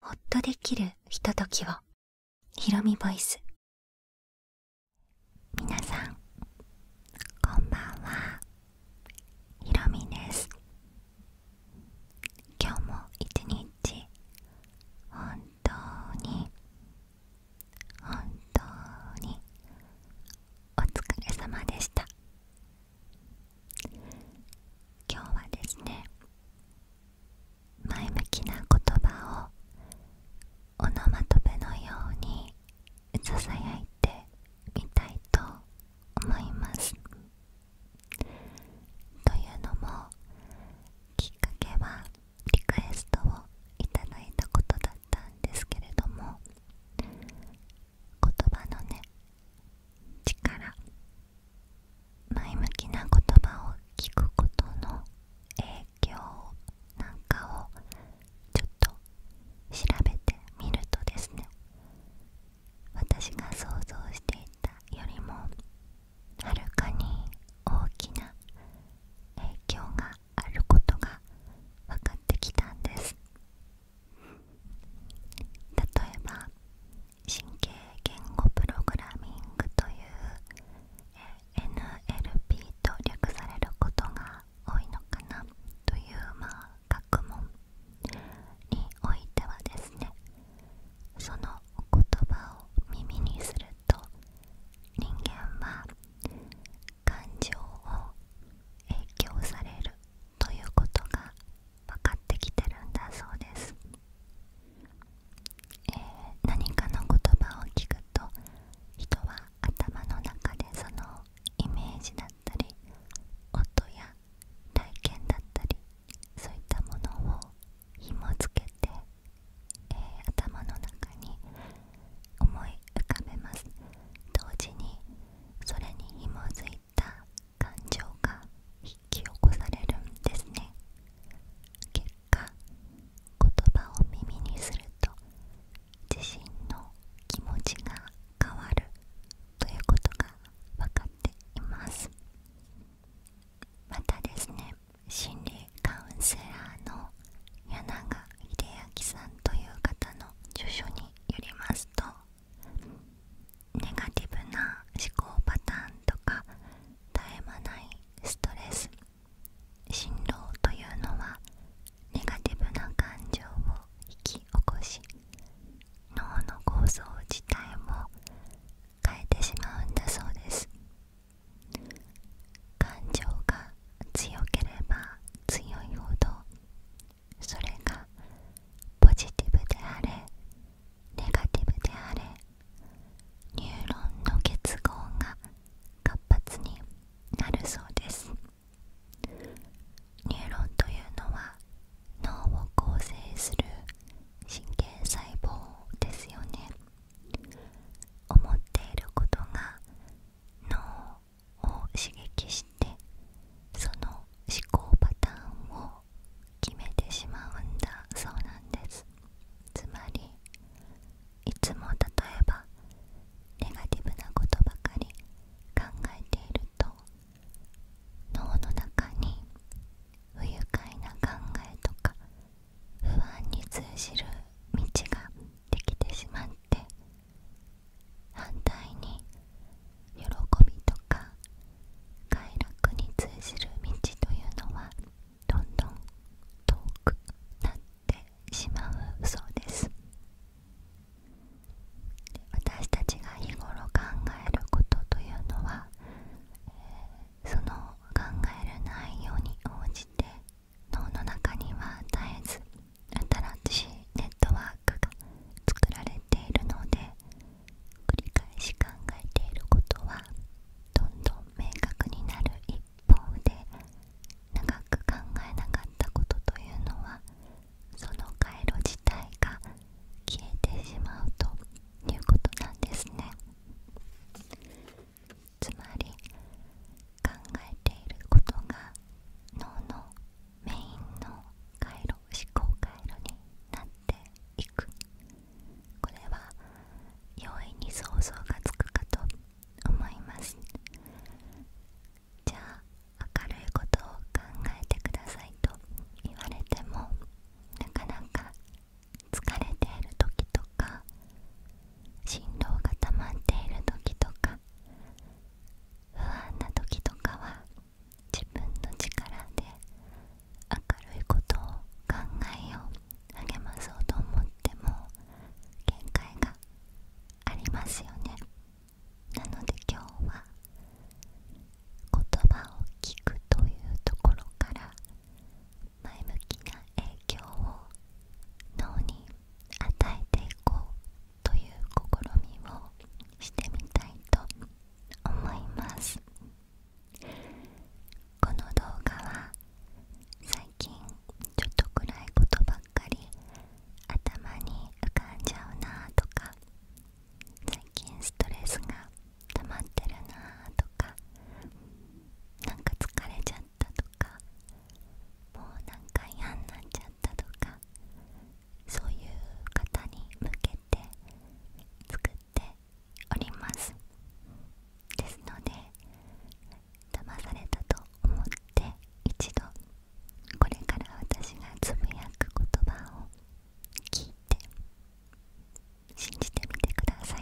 ほっとできるひとときをひろみボイス皆さんこんばんはひろみです今日も一日本当に本当にお疲れ様でした今日はですね前向きな言葉をオノマトペのようにささやいてみたいと思いますというのもきっかけはリクエストを頂いたことだったんですけれども言葉のね力前向きな言葉を聞くことの影響なんかをちょっと調べてみるとですね私が想像していたよりもはるかに大きな影響があることが分かってきたんです例えば神経言語プログラミングという NLP と略されることが多いのかなというまあ学問においてはですねそのお言葉を耳にすると人間は感情を影響されるということが分かってきてるんだそうです、え何かの言葉を聞くと人は頭の中でそのイメージだったり音や体験だったりそういったものを紐付けて、え頭の中に思い浮かべます同時にそれに紐づいた感情が引き起こされるんですね結果言葉を耳にすると自身の気持ちが変わるということが分かっていますまたですね心理カウンセラーの柳川秀明さんという方の著書によりますとネガティブな思考パターンとか絶え間ないストレス振動というのはネガティブな感情を引き起こし脳の構造自体も変えてしまうんだそうです感情が強ければ強いほどそれがポジティブであれネガティブであれニューロンの結合が活発になるそうですニューロンというのは脳を構成する神経細胞ですよね思っていることが脳を刺激してその思考パターンを決めてしまうんだそうなんですつまりいつも例えばネガティブなことばかり考えていると脳の中に不愉快な考えとか不安に通じる道ができてしまって反対に喜びとか快楽に通じる道というのはどんどん遠くなってしまうそうです私たちが日頃考えることというのは、その考える内容に応じて脳の中には絶えず新しいネットワークが作られているので繰り返し考えていることはどんどん明確になる一方で長く考えなかったことというのはその回路自体が消えてしまうということなんですねつまり考えていることが脳のメインの回路思考回路になってこれは容易に想像がつくかと思いますじゃあ明るいことを考えてくださいと言われてもなかなか疲れている時とか振動が溜まっている時とか不安な時とかは自分の力で明るいことを考えよう励まそうと思っても限界がありますよねなので今日は言葉を聞くというところから前向きな影響を脳に与えていこうという試みをしてみたいと思いますこの動画は最近ちょっと暗いことばっかり頭に浮かんじゃうなとか最近ストレスが溜まってるなとかなんか疲れちゃったとかもう何んか嫌になっちゃったとかそういう方に向けて作っておりますですので騙されたと思って一度これから私がつぶやく言葉を聞いて信じてみてください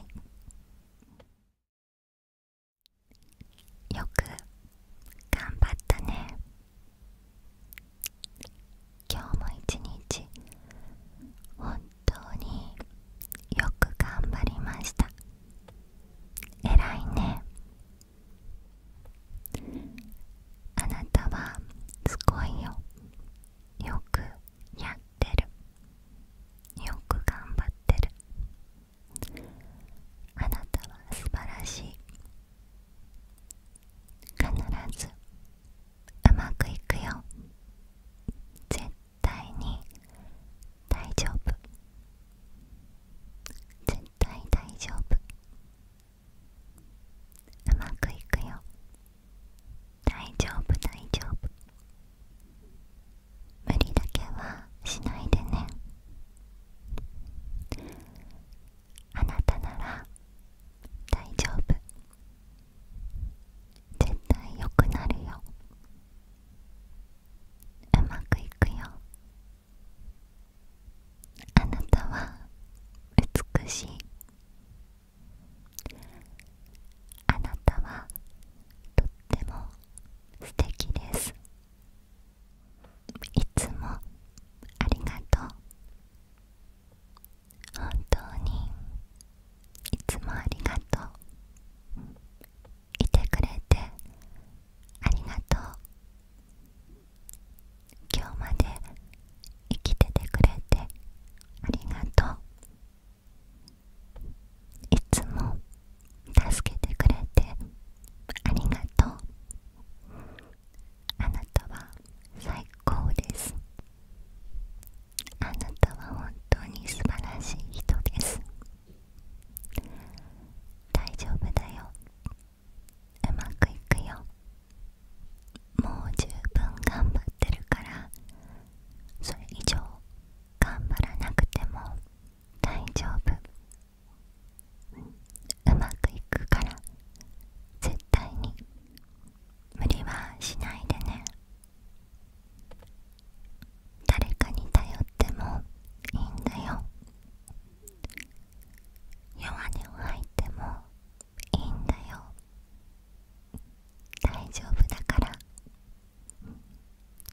よく頑張ったね今日も一日本当によく頑張りました偉いねあなたはすごいよよくやってるよく頑張ってるあなたは素晴らしい必ずうまくいくよ絶対に大丈夫絶対大丈夫うまくいくよ大丈夫大丈夫無理だけはしないでねあなたなら大丈夫絶対良くなるようまくいくよあなたは美しいあなたはとっても素敵ですいつもありがとう本当にいつもありがとういてくれてありがとう今日まで生きててくれてありがとういつも助けてくれてありがとうあなたは最高ですあなたは本当に素晴らしい人です大丈夫だようまくいくよもう十分頑張ってるからそれ以上頑張らなくても大丈夫うまくいくから絶対に無理はしないでね誰かに頼ってもいいんだよ弱音を吐いてもいいんだよ大丈夫だから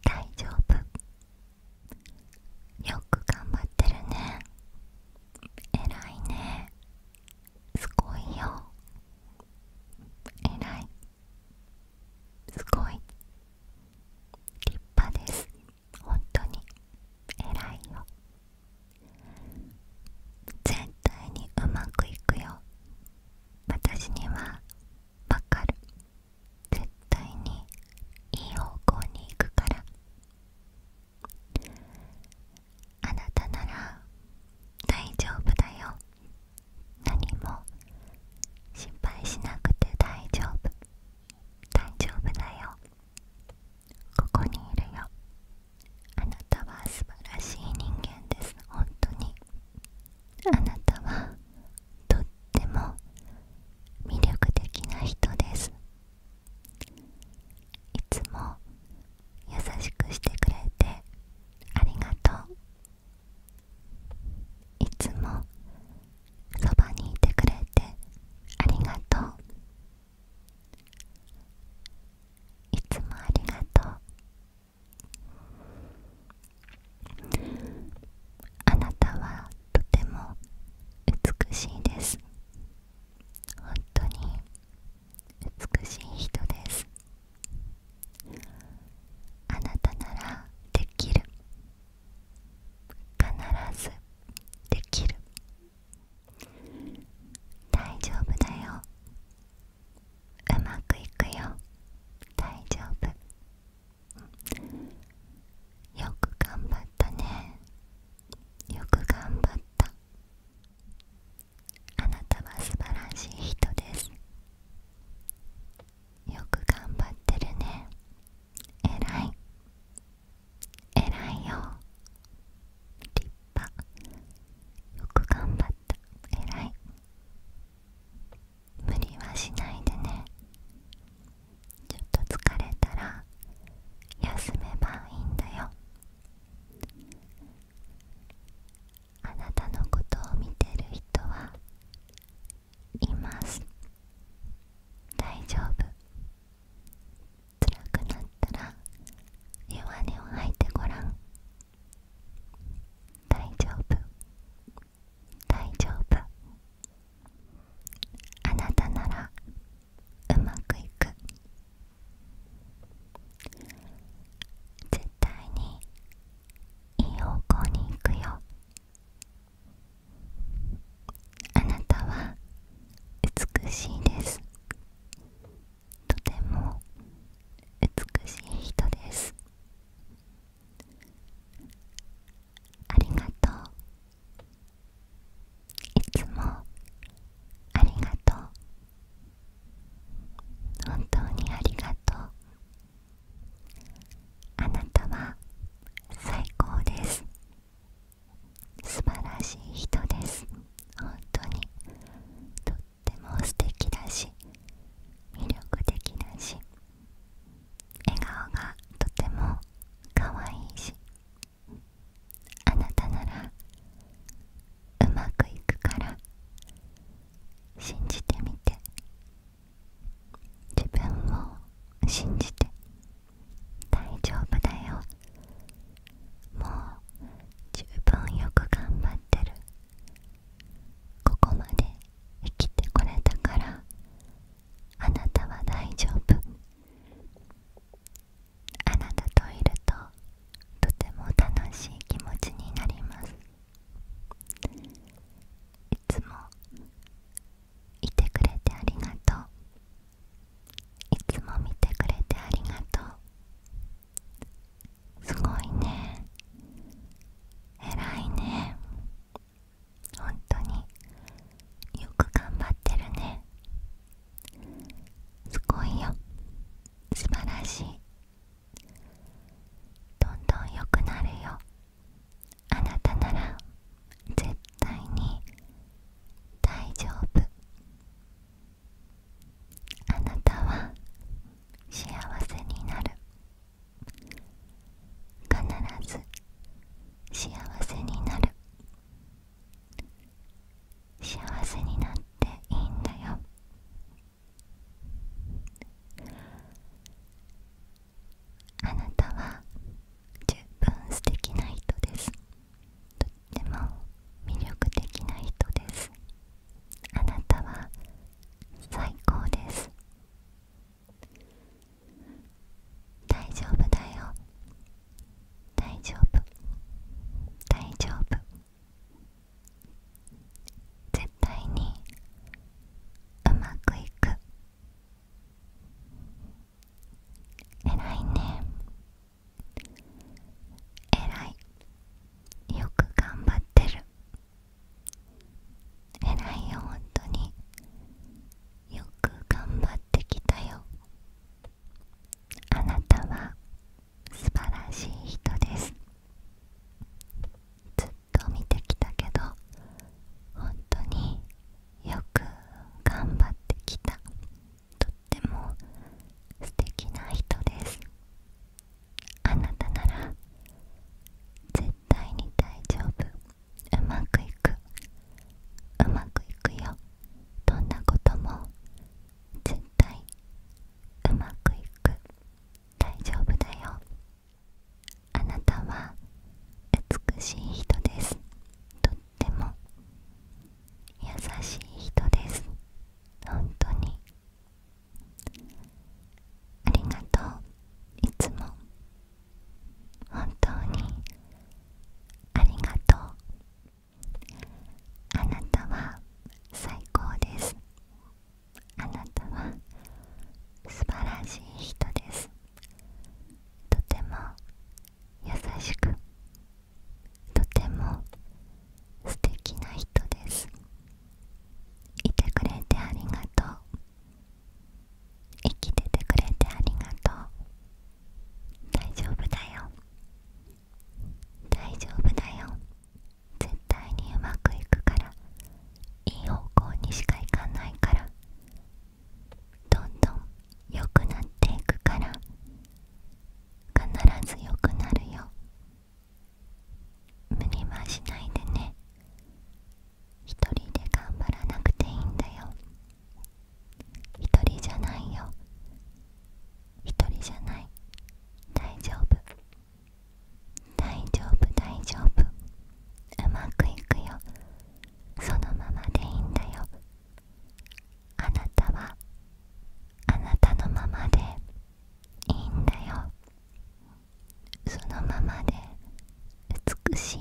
大丈夫よく頑張ってるね偉いねすごいよ偉いすごい立派です本当に偉いよ絶対にうまくいくよ私にはわかる絶対にいい方向に行くからあなたなら大丈夫だよ何も心配しなくて大丈夫大丈夫だよここにいるよあなたは素晴らしい人間です本当にあなたはとっても魅力的な人ですいつも優しくしてくれてありがとういつもそばにいてくれてありがとういつもありがとうあなたはとても美しいです本当に美しい人ですあなたならできる必ずできる大丈夫だようまくいくよ大丈夫よく頑張ったねよく頑張ったあなたは素晴らしい人ですよく頑張ってるねえらいえらいよ立派よく頑張ったえらい無理はしないでねちょっと疲れたら休めばいいんだよあなたのことを見てる人はいます大丈夫辛くなったら弱音を吐いてごらん大丈夫大丈夫あなたならうまくいく絶対にいい方向に行くよあなたは美しいですとても美しい人ですありがとういつもありがとう本当にありがとうあなたは最高です素晴らしい人です本当にとっても素敵だし魅力的だし笑顔がとても可愛いしあなたならうまくいくから信じてみて自分を信じて大丈夫だよもう十分よく頑張ってるここまで生きてこれたからあなたは大丈夫あなたといるととても楽しい気持ちになりますいつもいてくれてありがとういつも見てくれてありがとうすごいねえらいね本当によく頑張ってるねすごいよ素晴らしいどんどん良くなるよあなたなら絶対に大丈夫あなたは幸せになる必ず幸せになる幸せになっていいんだよあなたは十分素敵な人ですとっても魅力的な人ですあなたは最高です大丈夫だよ大丈夫大丈夫絶対にうまくいく偉いねえらいよく頑張ってる偉いよ本当によく頑張ってきたよあなたは素晴らしい人ですずっと見てきたけど本当によく頑張ってきたとっても素敵な人ですあなたなら絶対に大丈夫うまくいくうまくいくよどんなことも絶対うまくいく大丈夫だよあなたは美しい人ですとっても優しい人です本当にありがとういつも本当にありがとうあなたは最高ですあなたは素晴らしい人ですとても優しくとても素敵な人ですいてくれてありがとう生きててくれてありがとう大丈夫だよ大丈夫だよ絶対にうまくいくからいい方向にしかいかないからどんどん良くなっていくから必ず良くなるよ無理はしないでね一人で頑張らなくていいんだよ一人じゃないよ一人じゃない大丈夫大丈夫大丈夫うまくいくよそのままでいいんだよあなたはあなたのままでいいんだよそのままで美しい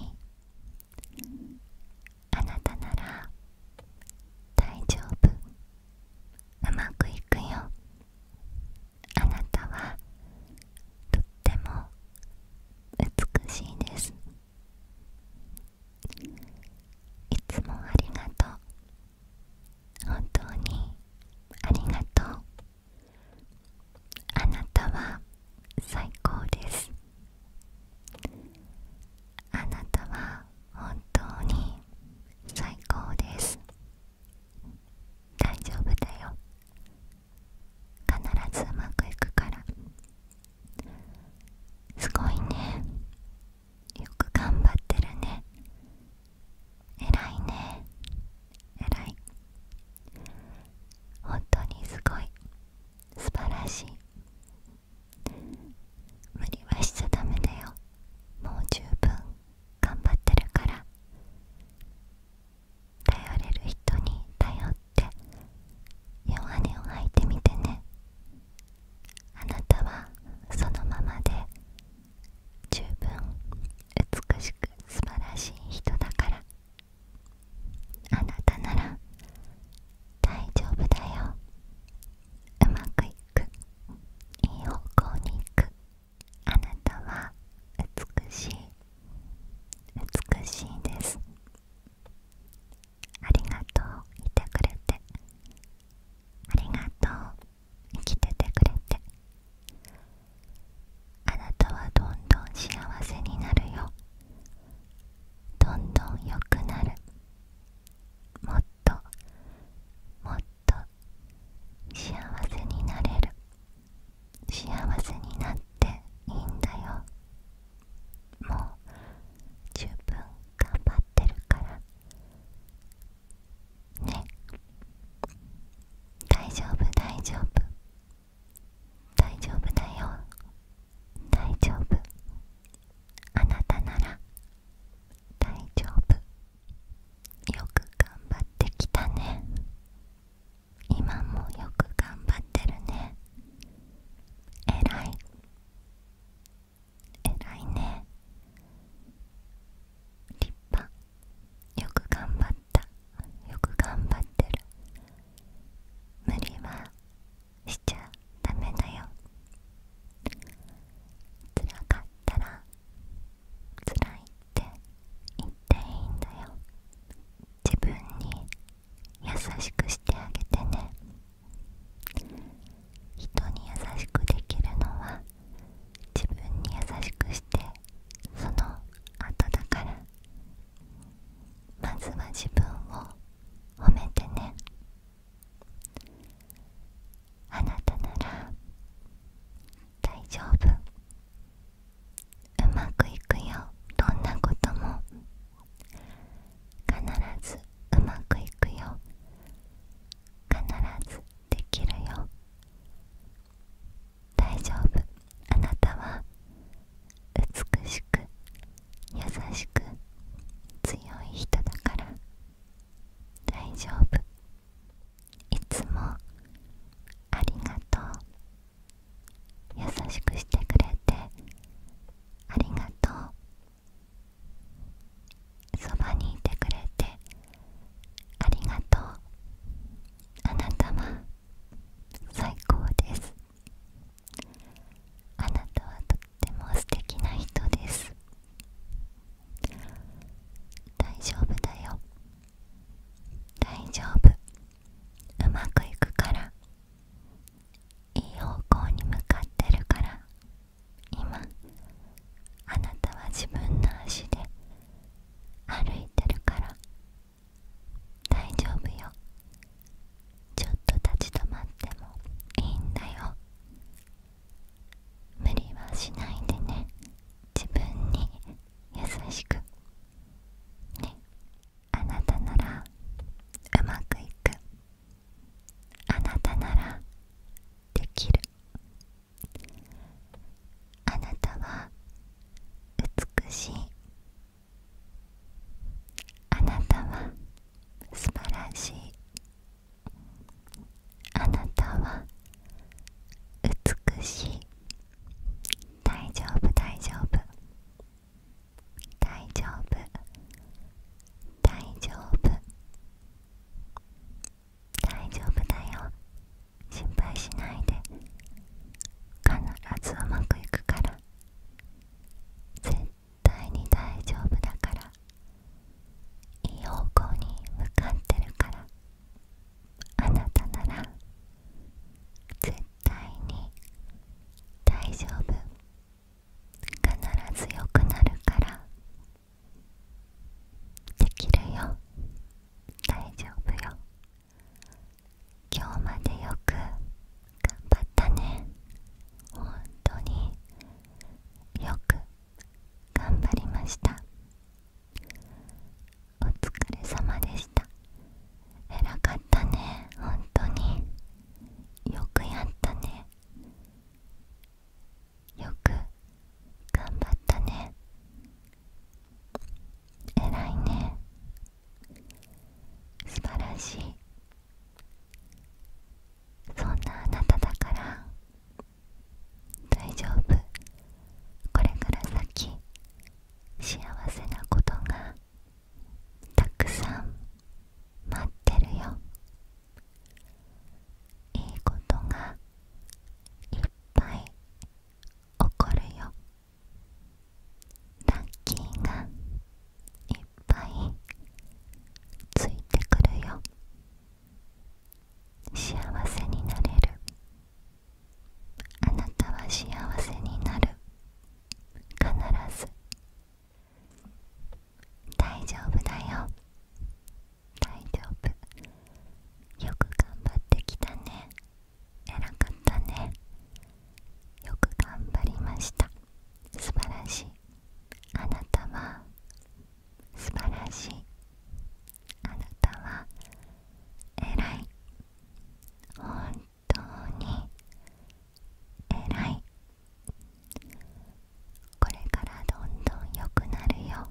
あなたなら大丈夫うまくいくよあなたはとっても美しいですいつもありがとう本当にありがとうあなたは最高ですあなたは本当に最高です大丈夫だよ必ずうまくいくからすごいねよく頑張ってるね偉いね偉い本当にすごい素晴らしい無理はしちゃダメだよもう十分頑張ってるから頼れる人に頼って弱音を吐いてみてねあなたはそのままで十分美しく素晴らしい人だからあなたなら大丈夫だようまくいくいい方向に行くあなたは美しい美しいですありがとういてくれてありがとう生きててくれてあなたはどんどん幸せになるよどんどん良くなるもっともっと。幸せになれる幸せになっていいんだよもう十分頑張ってるからね大丈夫大丈夫大丈夫だよ大丈夫あなたなら大丈夫よく頑張ってきたね今もよく頑張ってるねえらいえらいね立派よく頑張ったよく頑張ってる無理はしちゃダメだよ辛かったら辛いって言っていいんだよ自分に優しくしてあげてね人に優しくできるのは自分に優しくしてその後だからまずは自分を褒めてねあなたなら大丈夫うまくいくよどんなことも必ずうまくいくよ必ずできるよ大丈夫あなたは美しく優しく強い人だから大丈夫いつもありがとう優しくしてくれてありがとうそばにいてくれてありがとうあなたは最高ですあなたはとっても素敵な人です大丈夫だよ大丈夫うまくいくからいい方向に向かってるから今あなたは自分の足で歩いてるから大丈夫よちょっと立ち止まってもいいんだよ無理はしないでね自分に優しくねあなたならうまくいくあなたならできるあなたは美しいあなたは素晴らしいあなたは美しい大丈夫大丈夫大丈夫大丈夫大丈夫だよ心配しないで必ずうまくいくから絶対に大丈夫だからいい方向に向かってるからあなたなら絶対に大丈夫必ず良くなるからできるよ大丈夫よ今日までよく頑張ったね本当によく頑張りましたお疲れ様でした偉かったね本当によくやったねよく頑張ったね偉いね素晴らしいそんなあなただから大丈夫これから先幸せなことがたくさん待ってるよいいことがいっぱい起こるよラッキーがいっぱいついてくるよ幸せになれるあなたは幸せになる必ず大丈夫だよ大丈夫よく頑張ってきたね偉かったねよく頑張りました素晴らしいあなたは素晴らしいあなたはえらい本当にえらいこれからどんどん良くなるよ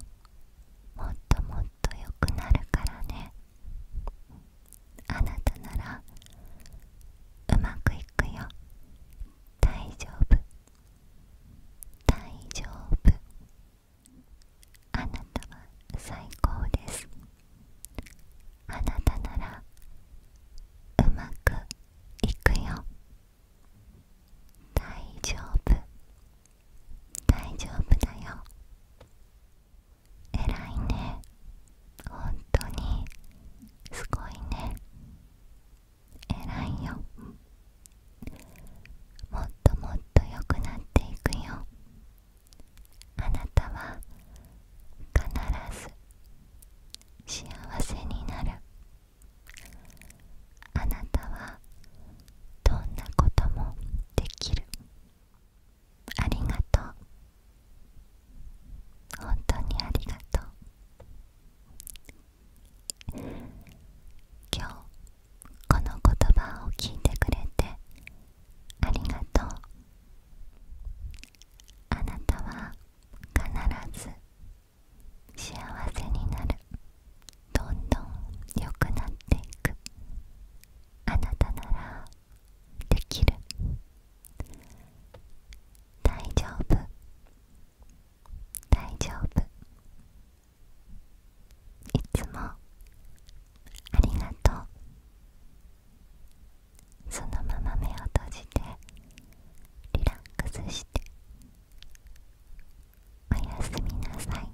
もっともっと良くなるからねあなたならうまくいくよ大丈夫大丈夫あなたは最高ですあなたならうまくいくよ大丈夫大丈夫だよ偉いね本当にすごいね偉いよもっともっと良くなっていくよあなたは必ず幸せになるあなたはどんなこともできるありがとう本当にありがとう今日この言葉を聞いてくれてありがとうあなたは必ず幸せになるどんどん良くなっていくあなたならできる大丈夫大丈夫いつもありがとうそのまま目を閉じてリラックスしておやすみなさい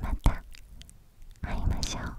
また会いましょう